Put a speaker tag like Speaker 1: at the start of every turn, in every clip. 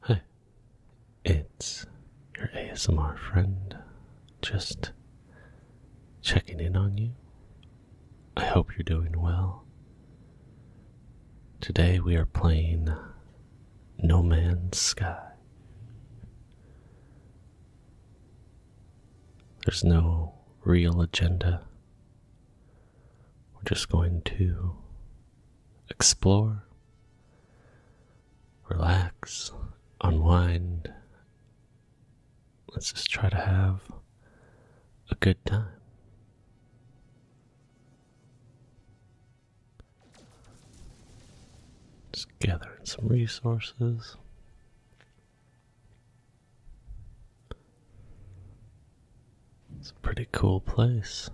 Speaker 1: Hi, it's your ASMR friend. Just checking in on you. I hope you're doing well. Today we are playing No Man's Sky. There's no real agenda. We're just going to explore, relax, unwind. Let's just try to have a good time. Just gathering some resources. It's a pretty cool place.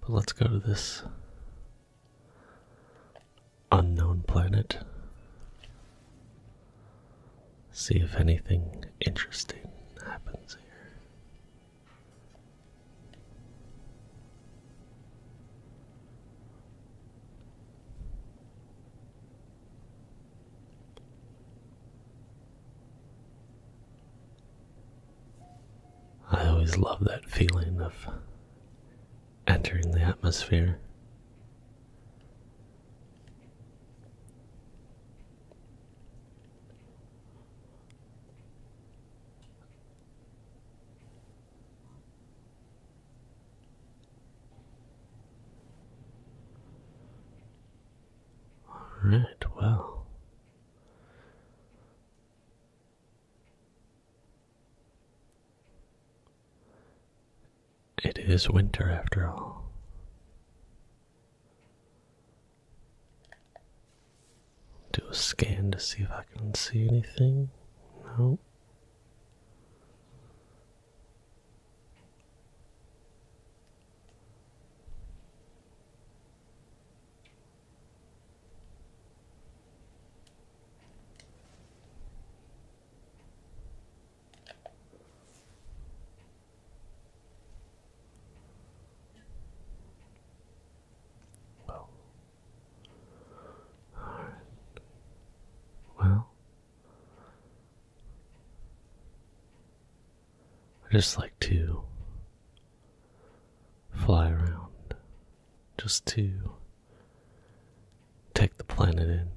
Speaker 1: But let's go to this unknown planet. See if anything interesting happens here. I always love that feeling of entering the atmosphere. All right, well. It is winter after all do a scan to see if I can see anything. No. Well, Alright. Well, I just like to fly around just to take the planet in.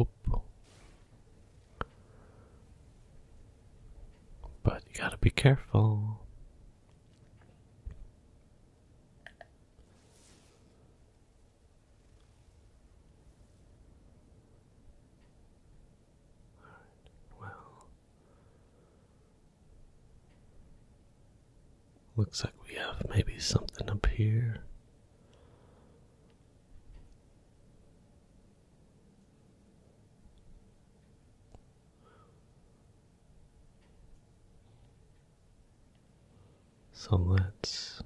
Speaker 1: Oop. But you gotta be careful. well, looks like we have maybe something up here. So let's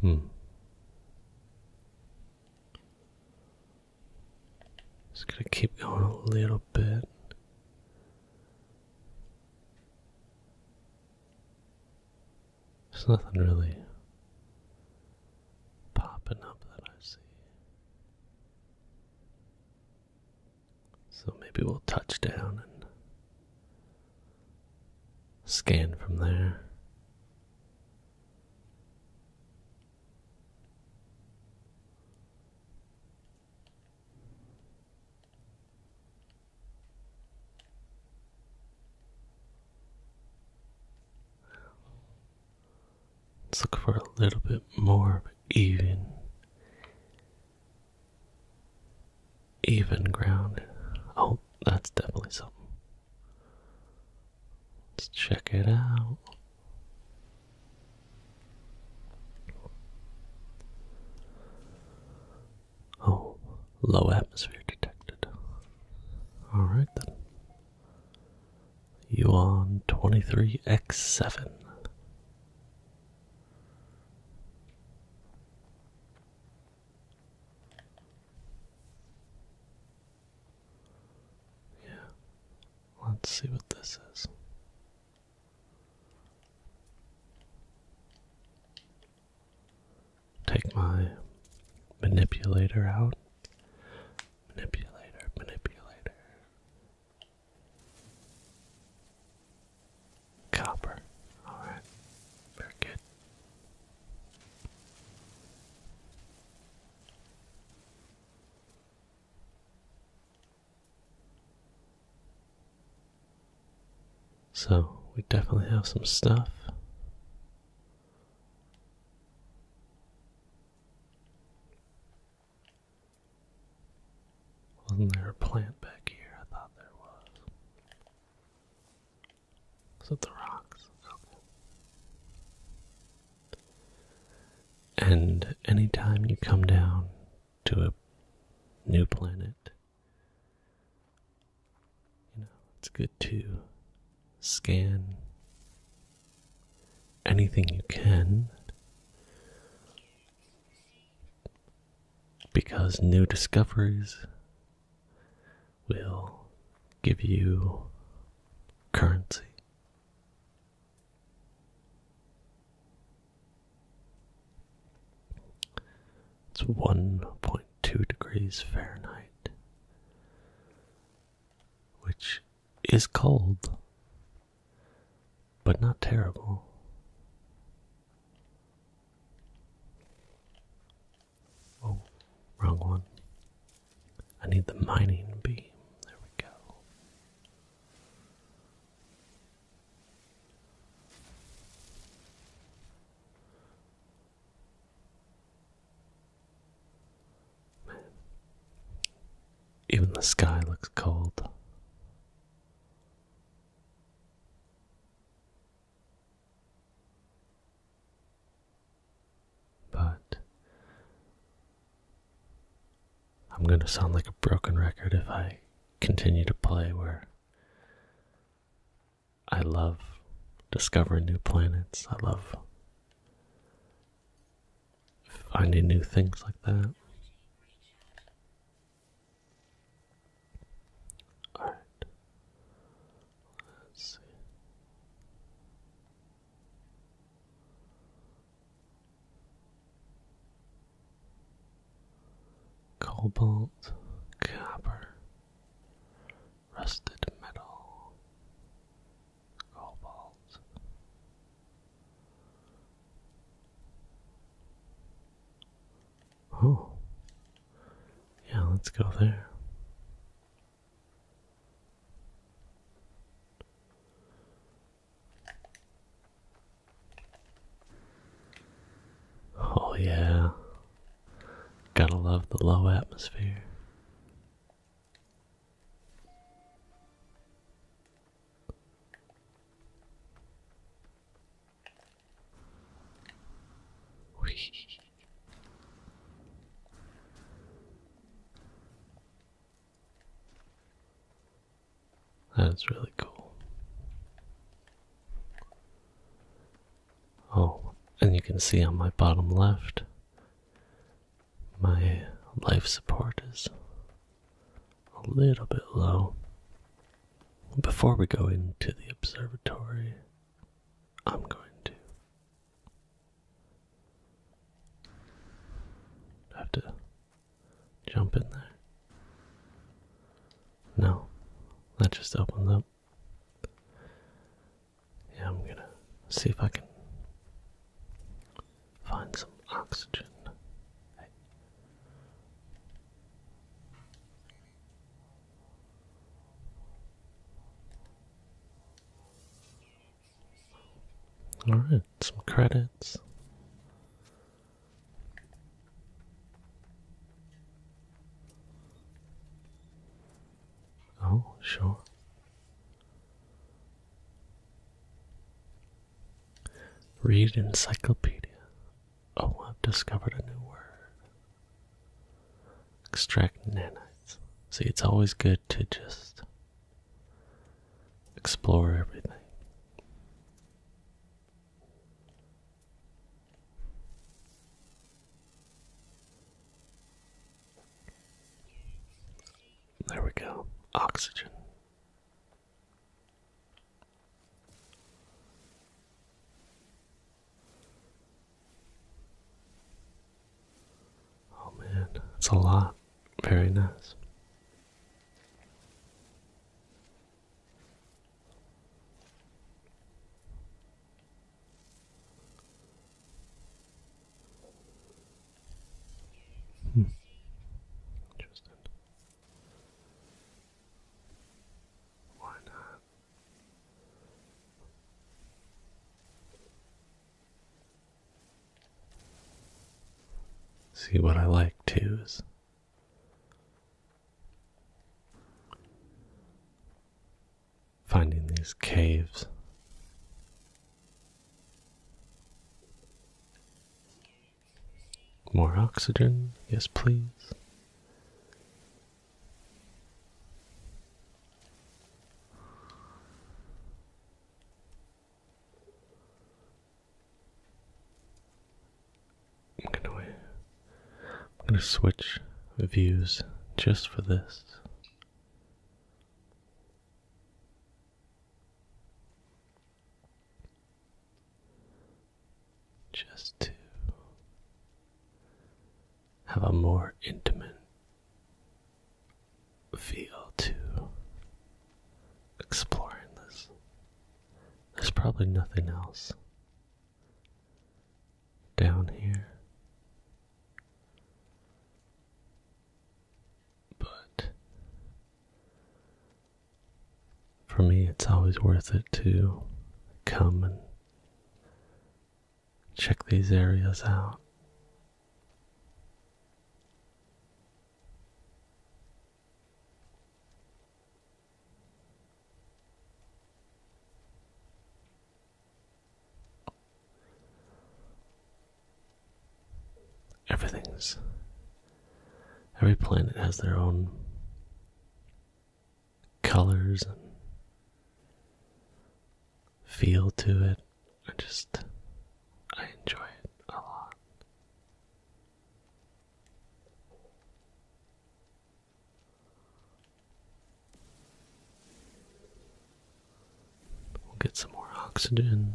Speaker 1: hmm. Just gonna keep going a little bit. There's nothing really popping up that I see. So maybe we'll touch down and scan from there. Let's look for a little bit more even, even ground. Oh, that's definitely something. Let's check it out. Oh, low atmosphere detected. All right then. You on 23x7. Yeah. Let's see what this is take my manipulator out. Manipulator, manipulator. Copper. Alright. Very good. So, we definitely have some stuff. Wasn't there a plant back here? I thought there was. Was it the rocks? Okay. And anytime you come down to a new planet, you know, it's good to scan anything you can because new discoveries will give you currency. It's 1.5 2 degrees Fahrenheit, which is cold, but not terrible. Oh, wrong one. I need the mining beam. There we go. Even the sky looks cold. But I'm going to sound like a broken record if I continue to play where I love discovering new planets. I love finding new things like that. All right. Let's see. Cobalt, copper rusted metal, golf Oh, yeah, let's go there. Oh, yeah, Gotta love the low atmosphere. That's really cool. Oh, and you can see on my bottom left, my life support is a little bit low. Before we go into the observatory, I'm going to have to jump in there. No, that just opens up yeah, I'm gonna see if I can find some oxygen. All right, some credits. Oh, sure. Read encyclopedia. Oh, I've discovered a new word. Extract nanites. See, it's always good to just explore everything. There we go. Oxygen. Oh man, it's a lot. Very nice. Hmm. Interesting. Why not? See what I like too is Finding these caves. More oxygen, yes, please. I'm gonna I'm gonna switch views just for this. Just to have a more intimate feel to exploring this. There's probably nothing else down here. But for me, it's always worth it to come and check these areas out. Everything's. Every planet has their own colors and feel to it. I just. I enjoy it a lot. We'll get some more oxygen.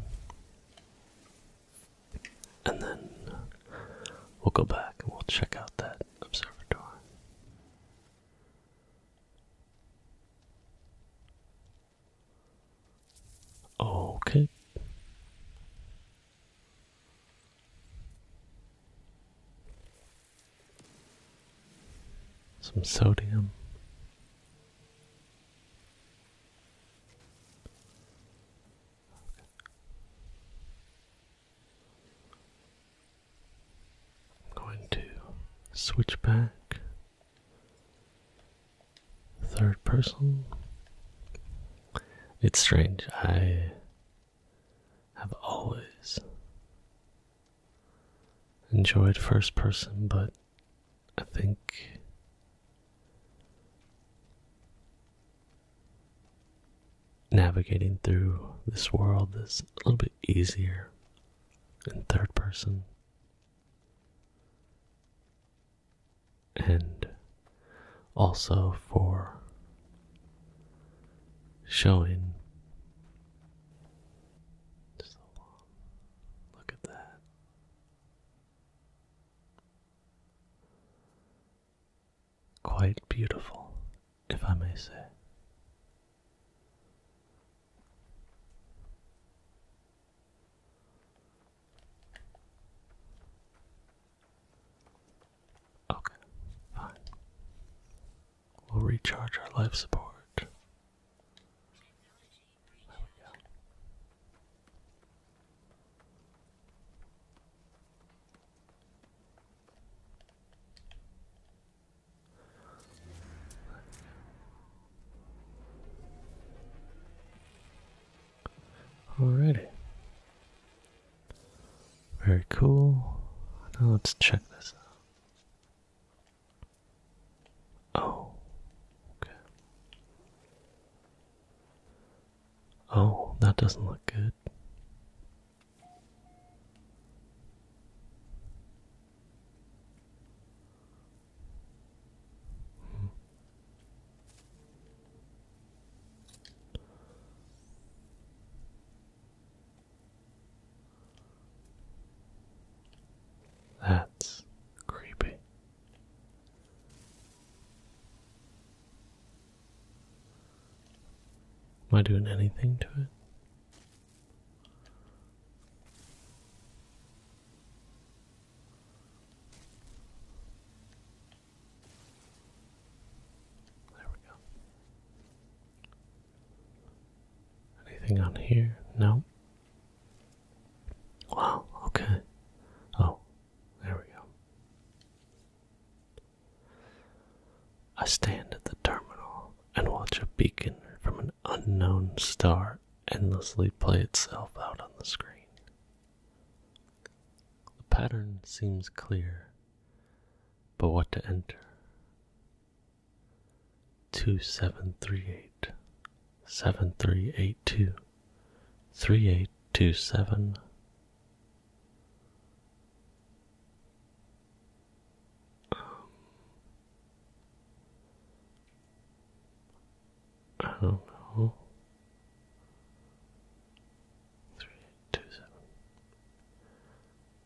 Speaker 1: And then uh, we'll go back and we'll check out that observatory. Okay some sodium. I'm going to switch back third person. It's strange. I have always enjoyed first person, but I think navigating through this world is a little bit easier in third person. And also for showing so long. Look at that. Quite beautiful, if I may say. Okay, fine. We'll recharge our life support. There we go. Alrighty. Very cool. Now let's check this out. Oh, Oh, that doesn't look good. That's creepy. Am I doing anything to it? There we go. Anything on here? No. Wow, okay. Oh, there we go. I stand at the terminal and watch a beacon from an unknown star endlessly play itself out on the screen. The pattern seems clear, but what to enter? two seven three eight seven three eight two three eight two seven um, I don't know three eight two seven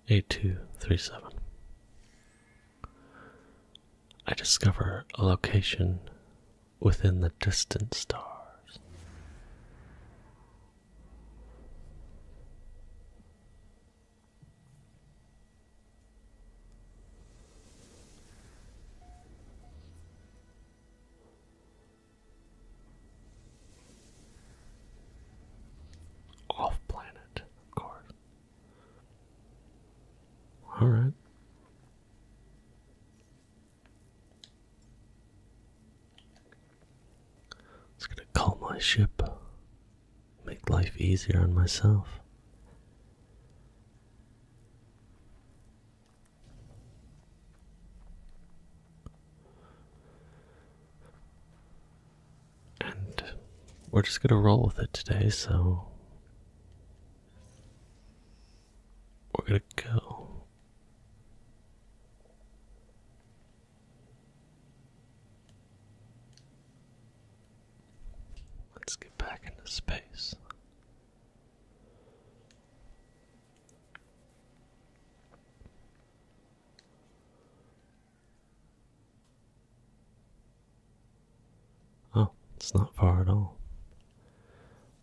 Speaker 1: 8237. I discover a location within the distant stars. Off planet of course. All right. It's gonna call my ship. Make life easier on myself and we're just gonna roll with it today, so we're gonna go. Let's get back into space. Oh, it's not far at all.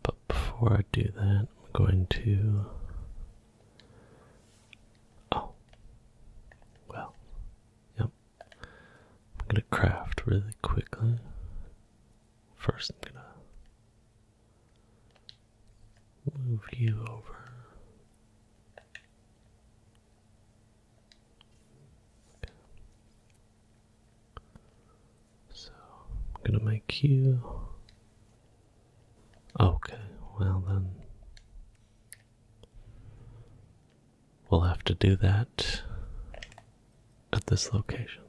Speaker 1: But before I do that, I'm going to. Oh. Well. Yep. I'm gonna craft really quickly. First, I'm gonna move you over. Okay. So I'm gonna make you okay, well then we'll have to do that at this location.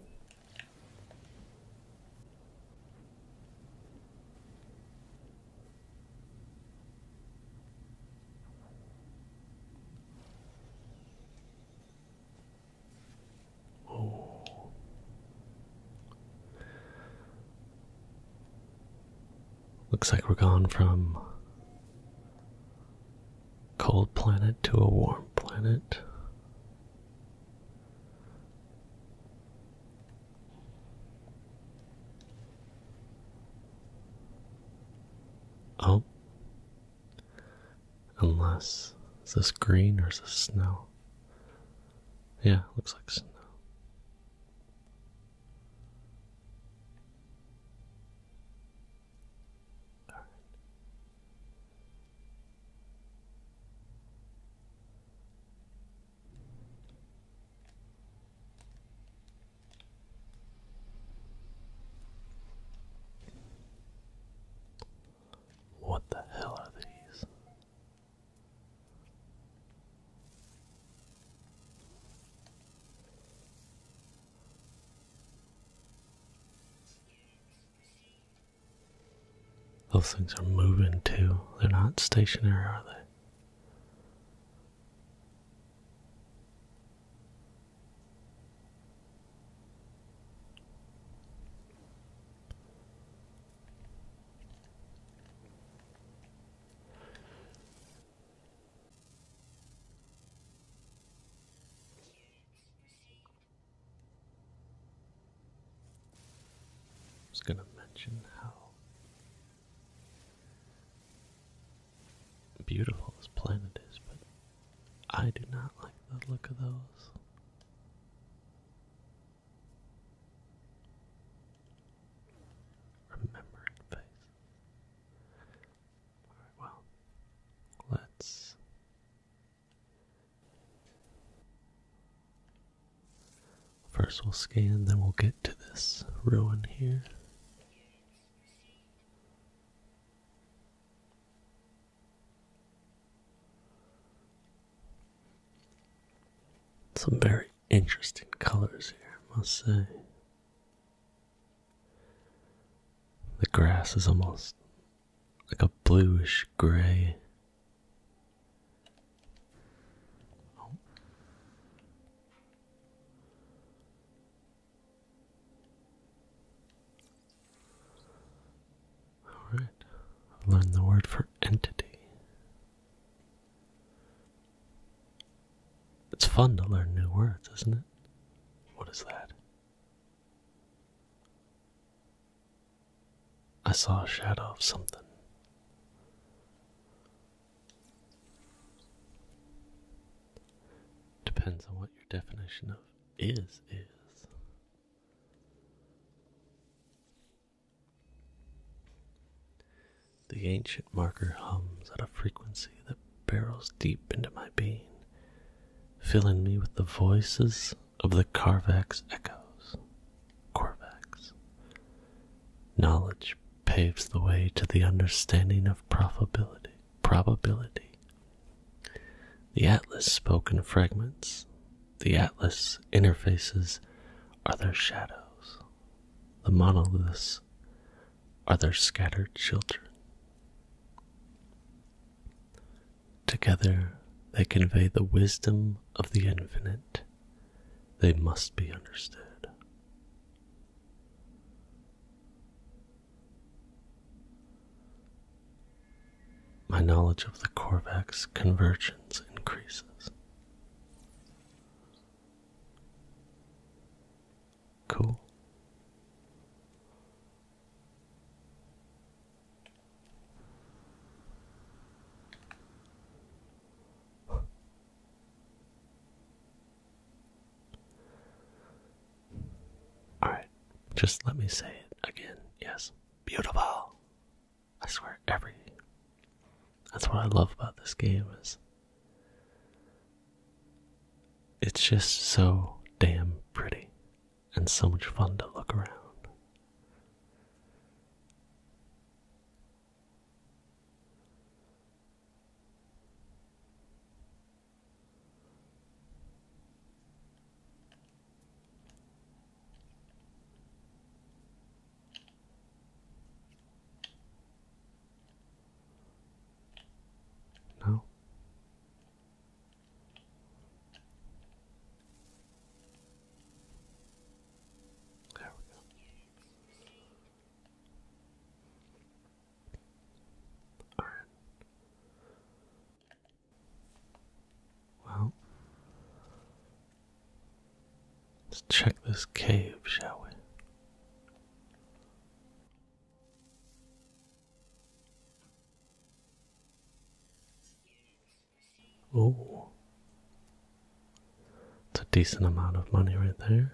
Speaker 1: Oh. Looks like we're gone from cold planet to a warm planet. Oh. Unless. Is this green or is this snow? Yeah, looks like snow. What the hell are these? Those things are moving too. They're not stationary, are they? I was going to mention how beautiful as planet is, but I do not like the look of those. Remembering face. Alright, well, let's. First, we'll scan, then we'll get to this ruin here. Some very interesting colors here, I must say. The grass is almost like a bluish gray. All right, learn the word for entity. It's fun to learn new words, isn't it? What is that? I saw a shadow of something. Depends on what your definition of is is. The ancient marker hums at a frequency that barrels deep into my being, filling me with the voices of the Carvax echoes. Corvax. Knowledge paves the way to the understanding of probability. Probability. The atlas spoke in fragments. The atlas interfaces are their shadows. The monoliths are their scattered children. Together they convey the wisdom of the infinite. They must be understood. My knowledge of the Corvax convergence increases. Cool. Alright, just let me say it again. Yes, beautiful. I swear, every. That's what I love about this game is. It's just so damn pretty and so much fun to look around. No. There we go. Alright. Well, let's check this cave, shall we? Oh, it's a decent amount of money right there.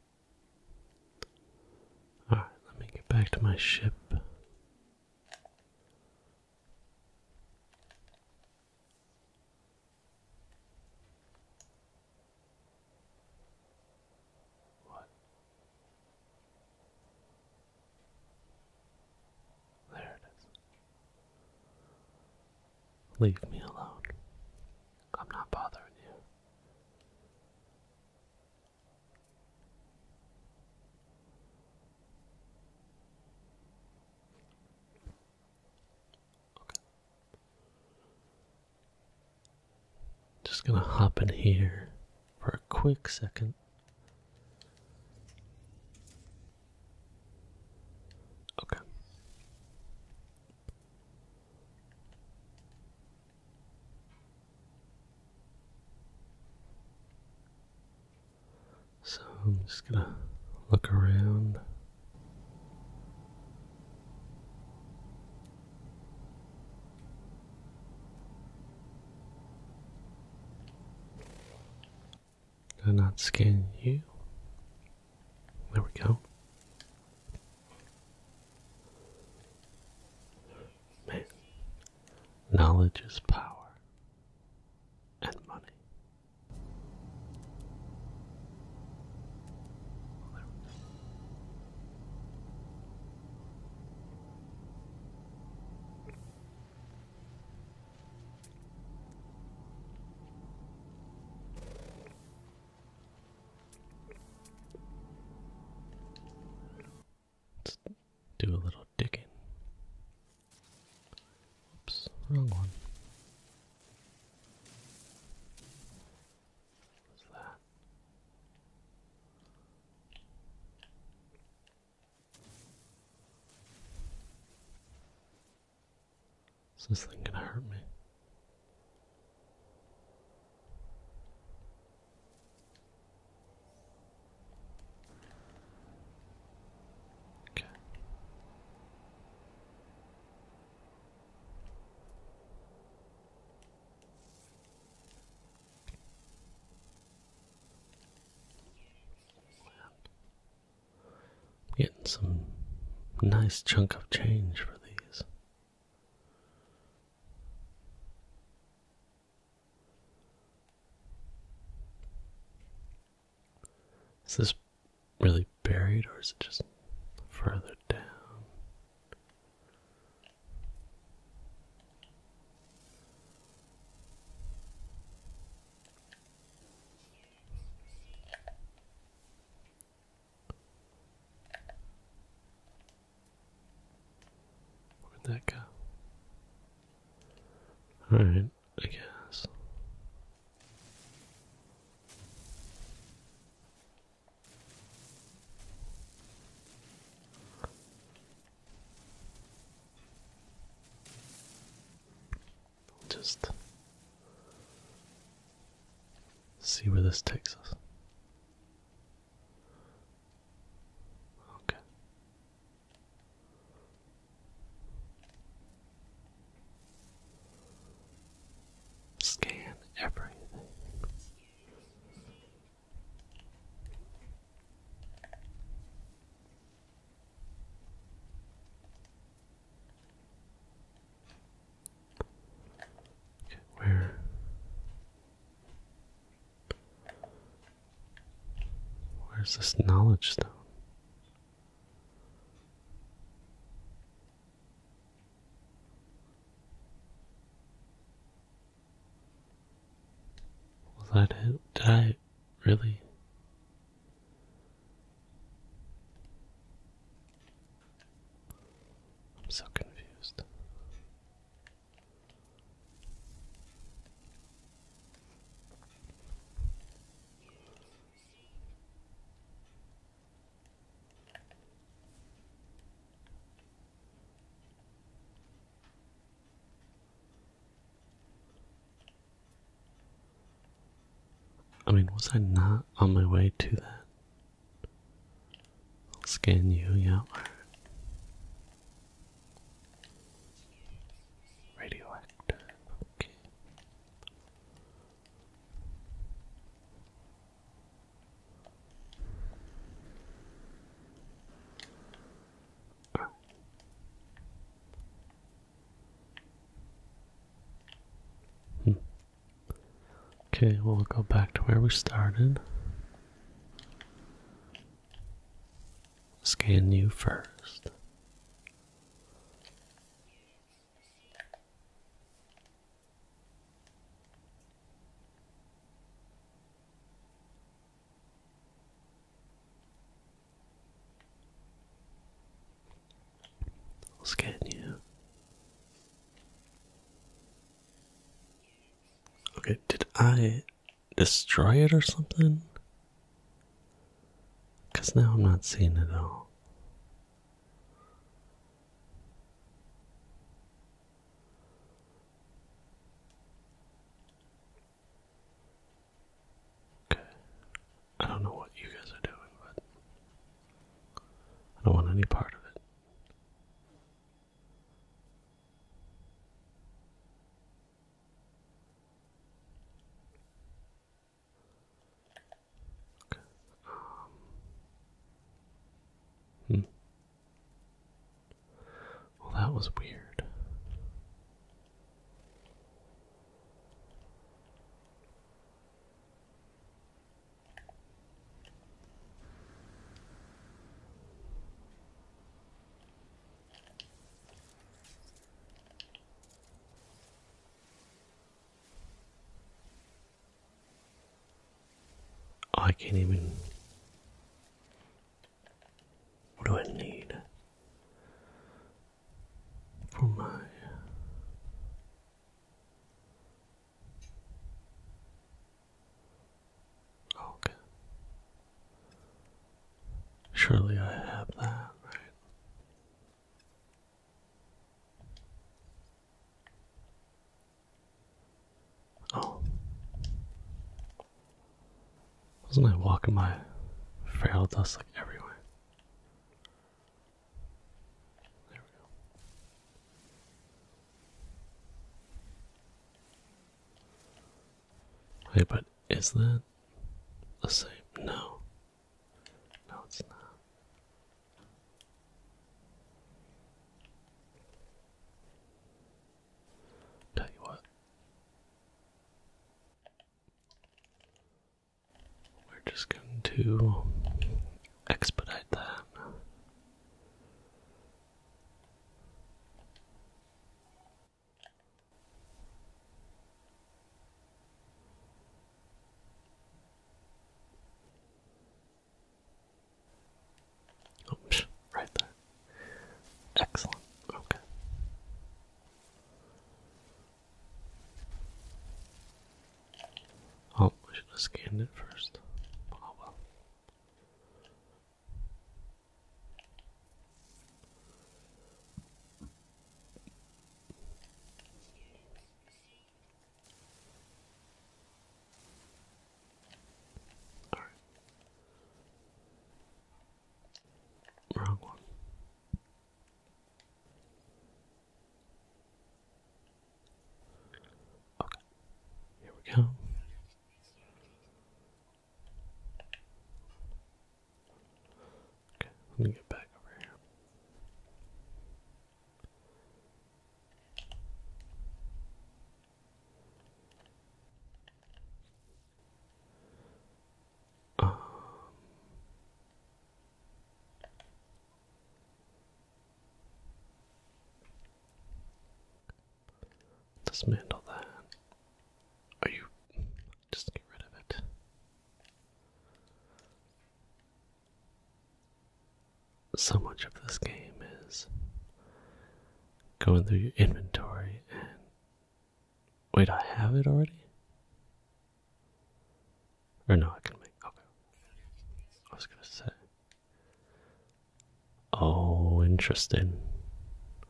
Speaker 1: Alright, let me get back to my ship. What? There it is. Leave me alone. I'm not bothering you. Okay. Just gonna hop in here for a quick second. Okay. So I'm just gonna look around. Do not scan you. There we go. Man, knowledge is power and money. Let's do a little digging. Oops, wrong one. What's that? Is this thing gonna hurt me? Okay. getting some nice chunk of change for these. Is this really buried or is it just further down? Where'd that go? Alright, I guess. Just see where this takes us. Okay. Scan everything where? Where's this knowledge stone? Was that it? Did I really? I'm so confused. I mean, was I not on my way to that? I'll scan you, yeah. Radioactive, Hmm. Okay, we'll go back to where we started. Scan you first. Scan you. Okay, did I destroy it or something? Because now I'm not seeing it all. Okay. I don't know what you guys are doing, but I don't want any part of it. Um, hmm. Well, that was weird. I can't even. What do I need for my Okay. Surely I have that, right? Oh. Wasn't I walking my frail dust like everywhere? There we go. Wait, but is that the same? No. No, it's not. Tell you what. We're just going to expedite that. Oops, right there. Excellent. Okay. Oh, I should have scanned it first. Oh well. All right. Wrong one. Okay, here we go. Okay, let me get back over here. Um, Dismantle that. Are you just get rid of it? So much of this game is going through your inventory and wait, I have it already? Or no, I can make okay. I was gonna say Oh, interesting.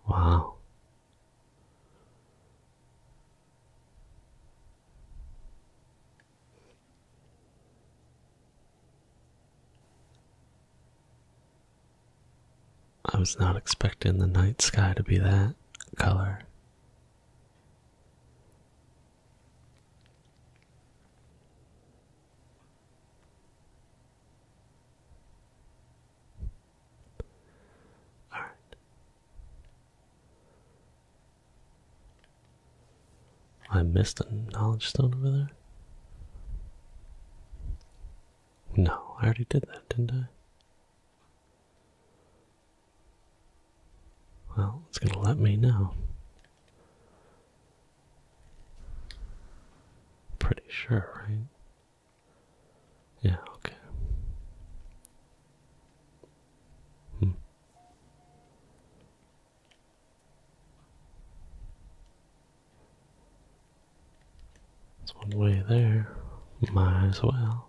Speaker 1: Wow. I was not expecting the night sky to be that color. All right. I missed a knowledge stone over there. No, I already did that, didn't I? Well, it's going to let me know. Pretty sure, right? Yeah, okay. Hmm. It's one way there. Might as well.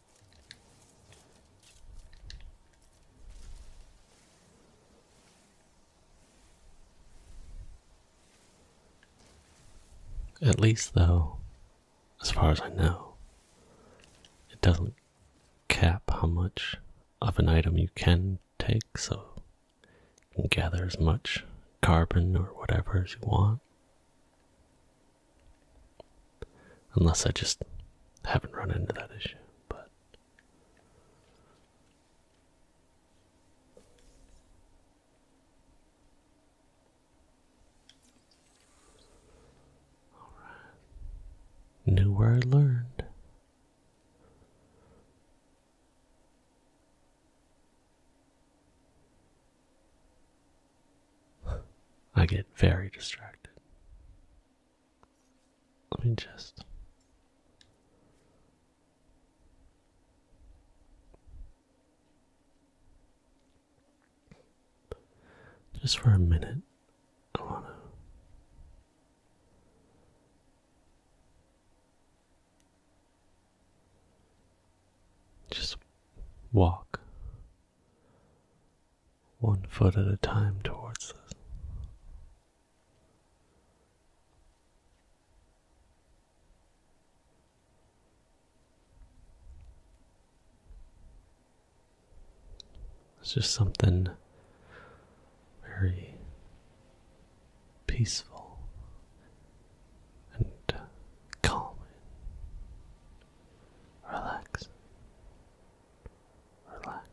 Speaker 1: At least, though, as far as I know, it doesn't cap how much of an item you can take, so you can gather as much carbon or whatever as you want. Unless I just haven't run into that issue, but Knew where I learned. I get very distracted. Let me just. Just for a minute, I want to. Just walk one foot at a time towards us. It's just something very peaceful and calm, relaxed relax,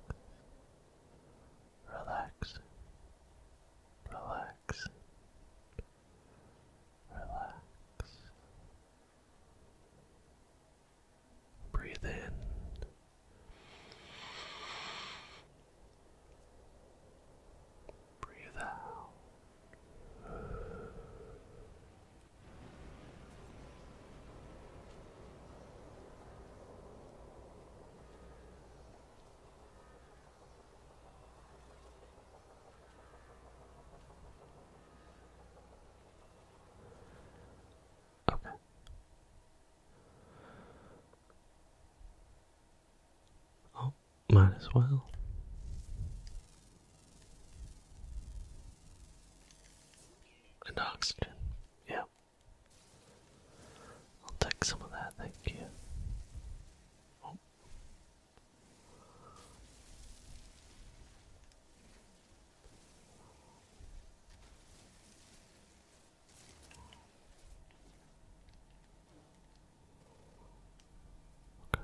Speaker 1: relax, relax, relax. Breathe in. Breathe out. Okay. Oh, might as well. And oxygen. Yeah. I'll take some of that, thank you. Oh. Okay.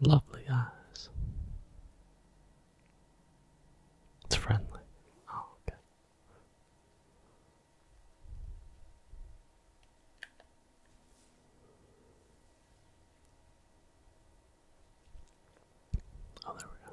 Speaker 1: Lovely eyes. It's friendly. Oh, okay. Oh, there we go.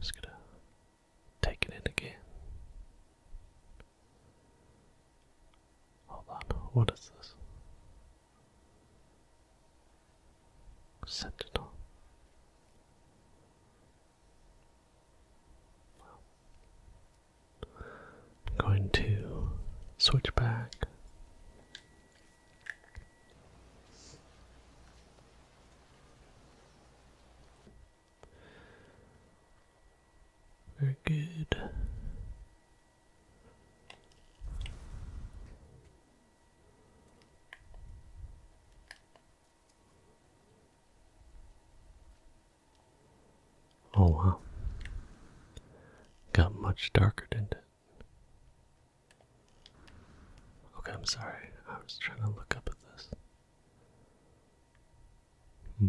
Speaker 1: Just gonna take it in again. Hold on, what is this? Sentinel. I'm going to switch back very good. Oh wow. Got much darker, didn't it? Okay, I'm sorry. I was trying to look up at this. Hmm.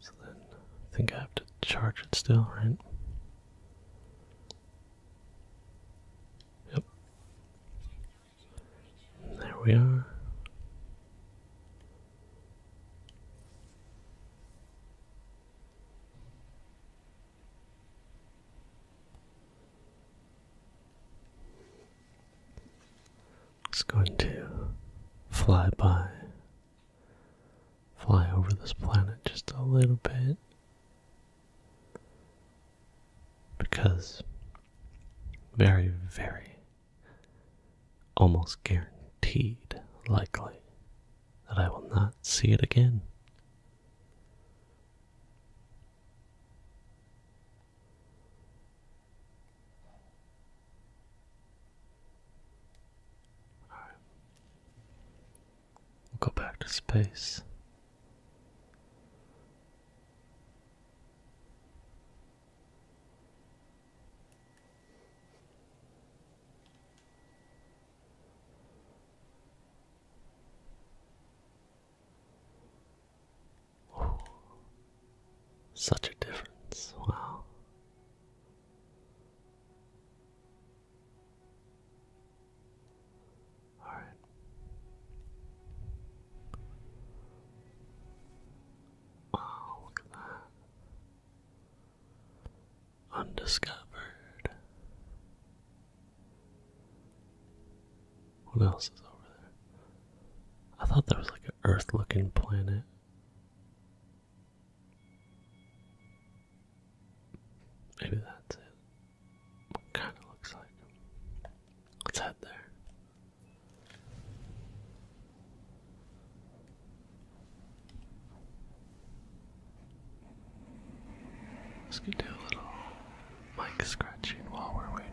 Speaker 1: So then I think I have to charge it still, right? Yep. there we are. It's going to fly by, fly over this planet just a little bit because very, very almost guaranteed likely that I will not see it again. All right. We'll go back to space such a difference, wow. All right. Wow, look at that. Undiscovered. What else is over there? I thought that was like an Earth looking planet. Maybe that's it. Kind of looks like. Let's head there. Let's do a little mic scratching while we're waiting.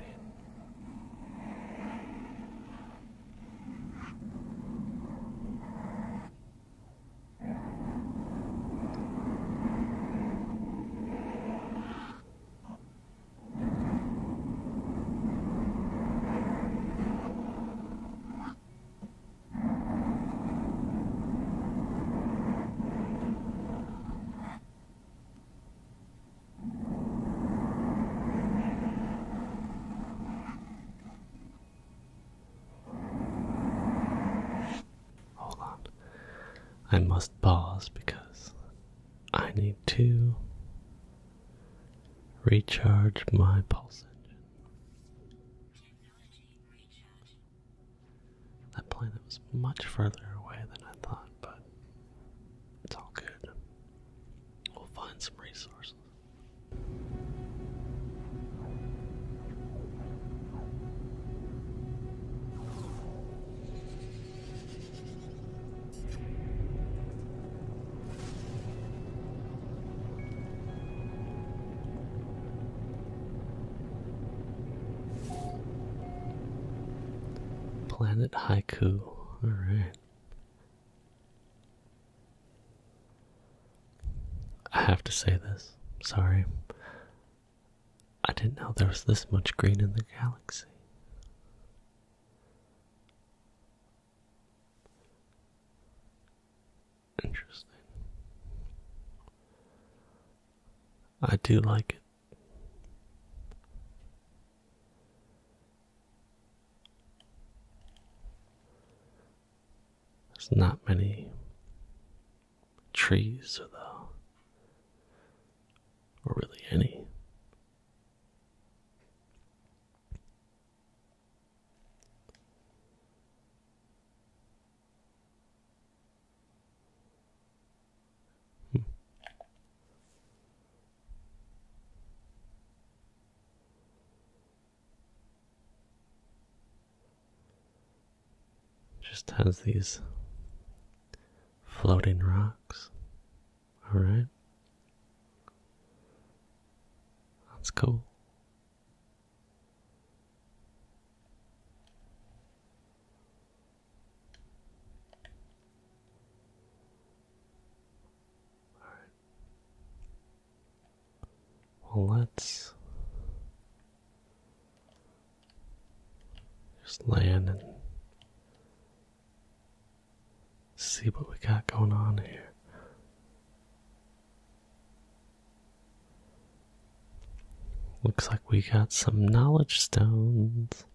Speaker 1: Hold on. I must pause because I need to recharge my pulse engine. That planet was much further away than I thought, but it's all good. We'll find some resources. Planet Haiku. All right. I have to say this. Sorry. I didn't know there was this much green in the galaxy. Interesting. I do like it. There's not many trees, though, or really any. Hmm. Just has these floating rocks. All right. That's cool. All right. Well, let's just land and see what we got going on here. Looks like we got some knowledge stones.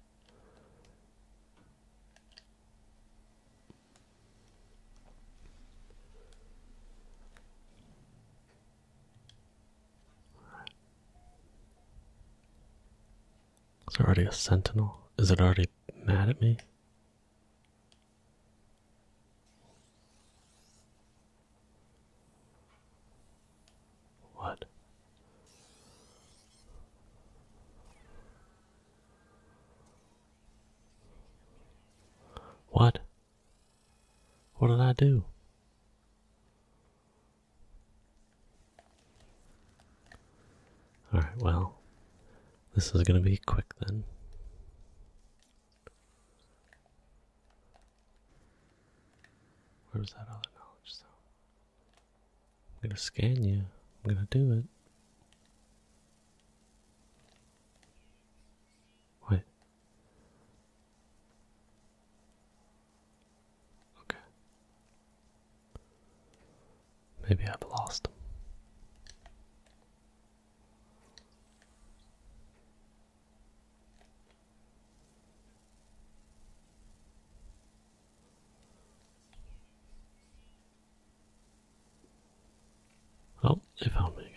Speaker 1: Is There's already a sentinel. Is it already mad at me? What? What? What did I do? Alright, well, this is going to be quick then. Where was that other knowledge though? I'm going to scan you. I'm going to do it. What? Okay. Maybe I've lost. Oh, they found me again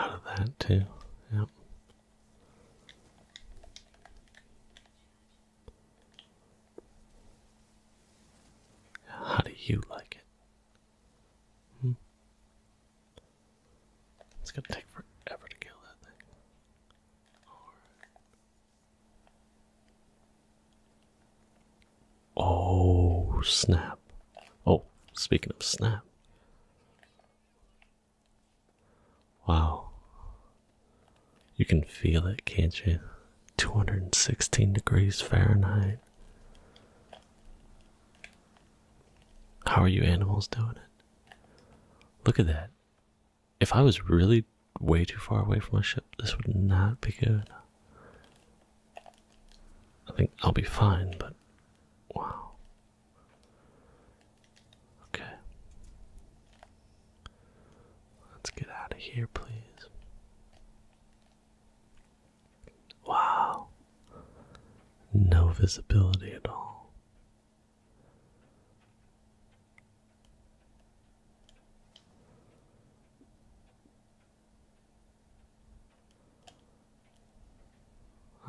Speaker 1: out of that too, yep. How do you like it? Hmm. It's gonna take forever to kill that thing. Oh, snap. Oh, speaking of snap. Wow. You can feel it, can't you? 216 degrees Fahrenheit. How are you animals doing it? Look at that. If I was really way too far away from my ship, this would not be good. I think I'll be fine, but wow. Okay. Let's get out of here, please. Wow. No visibility at all.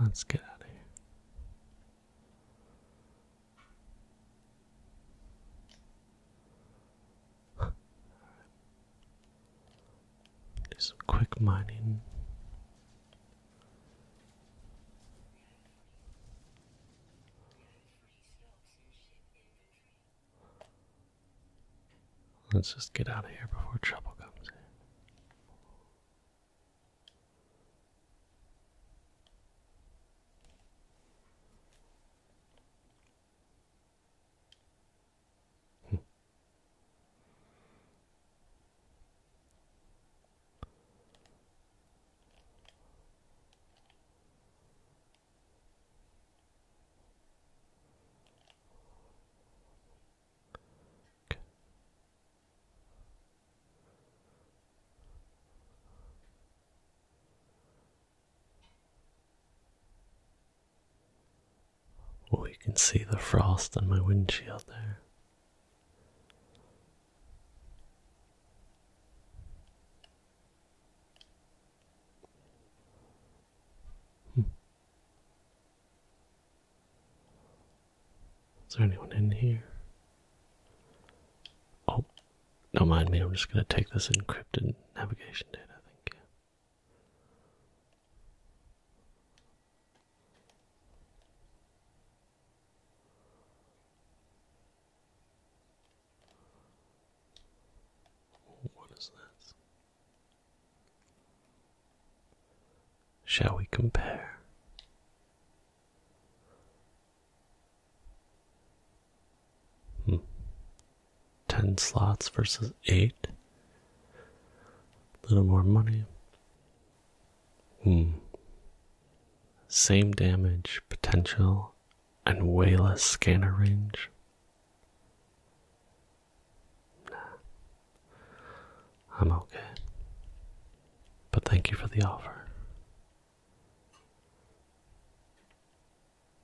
Speaker 1: Let's get out of here. Do some quick mining. Let's just get out of here before trouble comes in. Okay. Oh, you can see the frost on my windshield there. Hmm. Is there anyone in here? Oh, don't mind me. I'm just going to take this encrypted navigation data, I think. What is this? Shall we compare? Hmm. 10 slots versus 8. A little more money. Hmm. Same damage potential and way less scanner range. Nah. I'm okay. But thank you for the offer.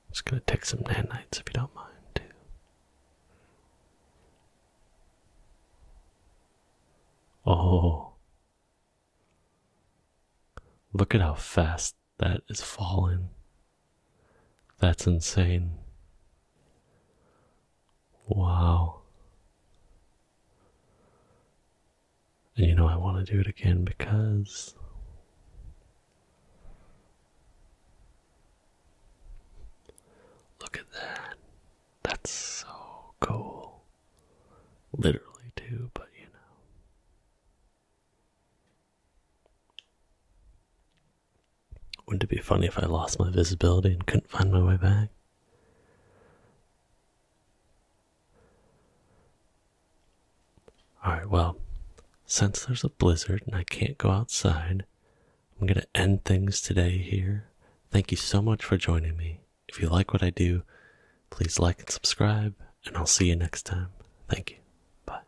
Speaker 1: It's gonna take some nanites if you don't mind, too. Oh. Look at how fast that is falling. That's insane. Wow. And you know, I want to do it again because look at that. That's so cool. Literally, too, but you know. Wouldn't it be funny if I lost my visibility and couldn't find my way back? Alright, well, since there's a blizzard and I can't go outside, I'm going to end things today here. Thank you so much for joining me. If you like what I do, please like and subscribe, and I'll see you next time. Thank you. Bye.